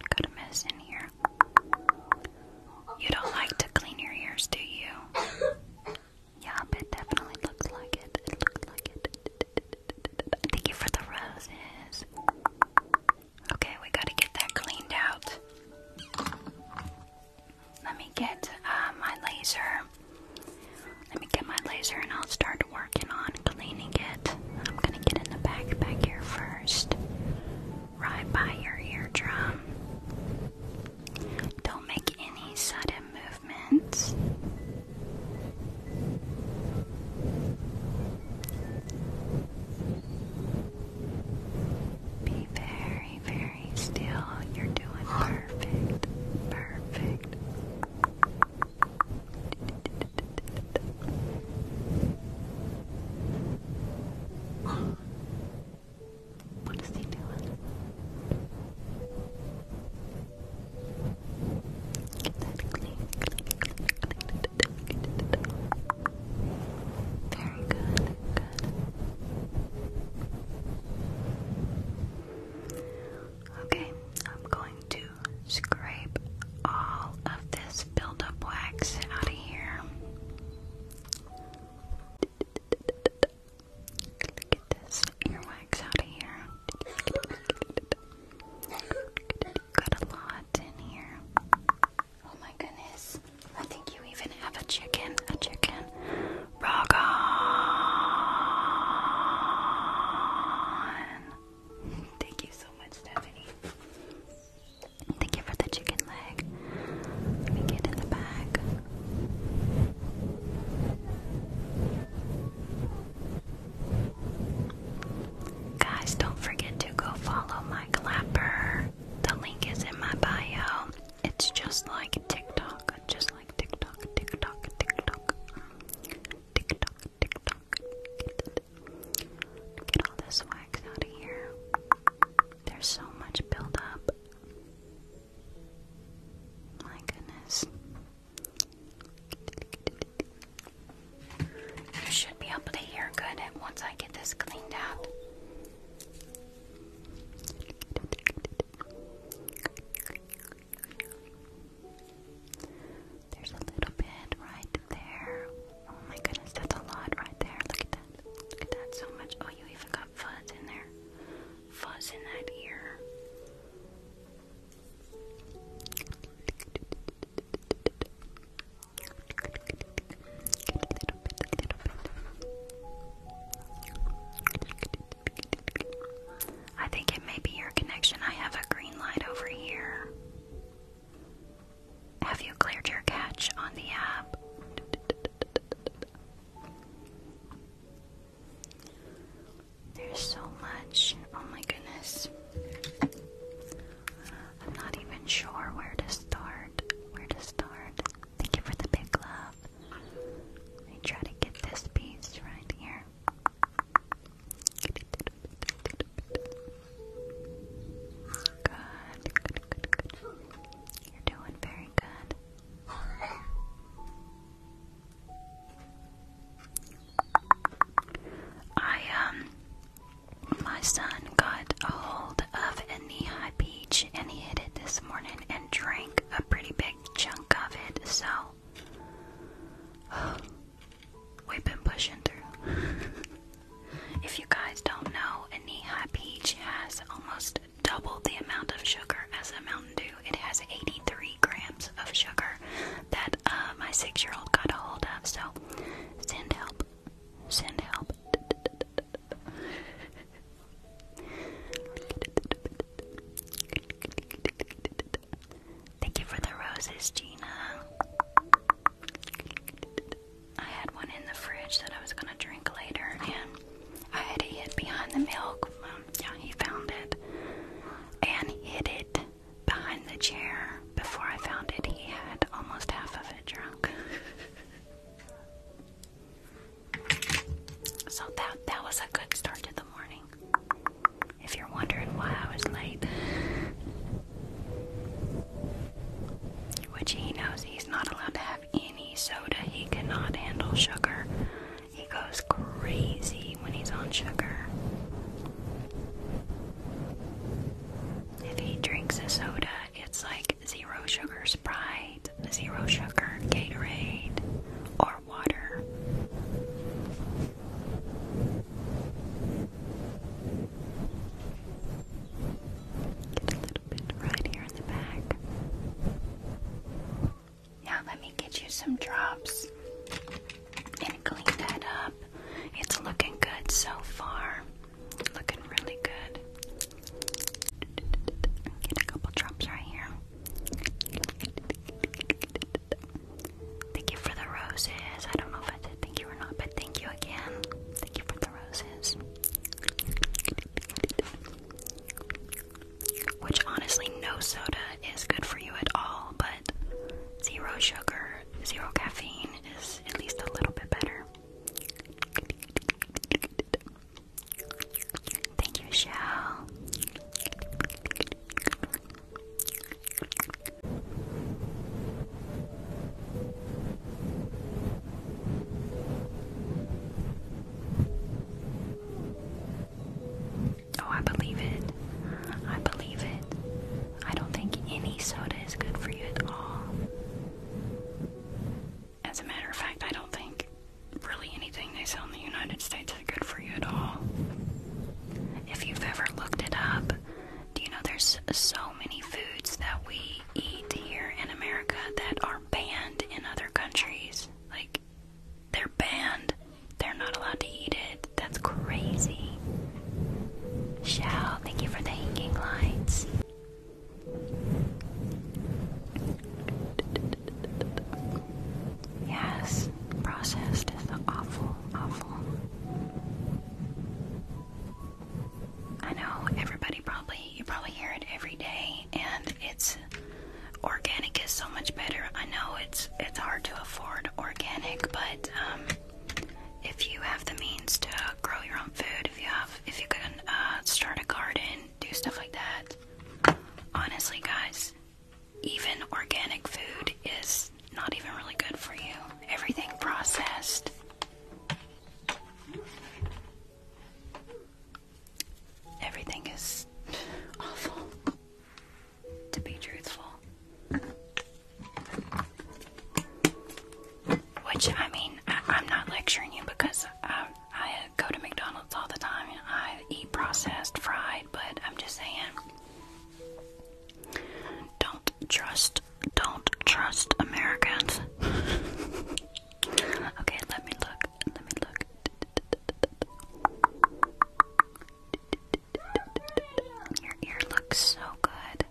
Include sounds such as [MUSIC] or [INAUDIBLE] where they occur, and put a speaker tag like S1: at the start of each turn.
S1: Got a mess in here. You don't like to clean your ears, do you? Yeah, but definitely looks like it. It looks like it. Thank you for the roses. Okay, we gotta get that cleaned out. Let me get uh, my laser. Let me get my laser and I'll start working on cleaning it. I'm gonna get in the backpack here first. Right by your eardrum. Don't make any sudden movements. Be very, very still. You're doing perfect. Perfect. What is he doing? Get Very good, good. Okay, I'm going to scrape all of this buildup wax out of here. Look this earwax out of here. Got a lot in here. Oh my goodness. I think you even have a chicken. A chicken. Rock Thank you so much, Stephanie. Thank you for the chicken leg. Let me get in the bag. Guys, don't forget to go follow my clapper. The link is in my bio. It's just like TikTok, just like TikTok, TikTok, TikTok, TikTok, Get all this wax out of here. There's so much buildup. My goodness. You should be able to hear good once I get this cleaned out. There's a little bit right there. Oh my goodness, that's a lot right there. Look at that. Look at that so much. Oh, you even got fuzz in there. Fuzz in that ear. [LAUGHS] I think it may be your connection. I have a green light over here. Have you cleared your cache on the app? There's so much. Oh my goodness. I'm not even sure where to start. Where to start. Thank you for the big love. Let me try to get this piece right here. Good, You're doing very good. I, um, my son got a hold of a knee high peach and he hit it this morning and drank a pretty big chunk of it. So [SIGHS] We've been pushing through. [LAUGHS] if you guys don't know, a knee peach has almost double the amount of sugar as a Mountain Dew. It has 83 grams of sugar that uh, my six year old got a hold of. So send help. Send help. [LAUGHS] Thank you for the roses, Gina. I had one in the fridge that I was gonna drink later, and I had it behind the milk. Um, yeah, he found it and hid it behind the chair. Before I found it, he had almost half of it drunk. [LAUGHS] So that that was a good start to the morning. If you're wondering why I was late, which he knows he's not allowed to have any soda. He cannot handle sugar. He goes crazy when he's on sugar. If he drinks a soda, it's like zero sugar Sprite zero sugar, Gatorade, or water. Get a little bit right here in the back. Now let me get you some drops and clean that up. It's looking good so far. Looking really good. Get a couple drops right here. Thank you for the roses. I don't know if I did thank you or not, but thank you again. Thank you for the roses. Which honestly, no soda is good for you at all, but zero sugar, zero caffeine is at least a little bit better. Thank you, Shell. Oh, I believe it. I believe it. I don't think any soda is good for you at all. As a matter of fact, I don't think really anything they sell in the United States is good for you at all. If you've ever looked it up, do you know there's so many foods that we eat here in America that are banned in other countries? Like, they're banned. They're not allowed to eat it. That's crazy. Shao, thank you for the hanging lights. Yes, processed is the awful, awful. I know everybody probably you probably hear it every day, and it's organic is so much better. I know it's it's hard to afford organic, but um, if you have the means to grow your own food, if you have if you can uh, start a garden, do stuff like that. Honestly, guys, even organic food is not even really good for you. Everything processed. Everything is awful, to be truthful. Which I mean, I, am not lecturing you because I, um, I go to McDonald's all the time and I eat processed fried, but I'm just saying, don't trust, don't trust Americans. [LAUGHS] okay, let me look. Let me look. Your ear looks so good.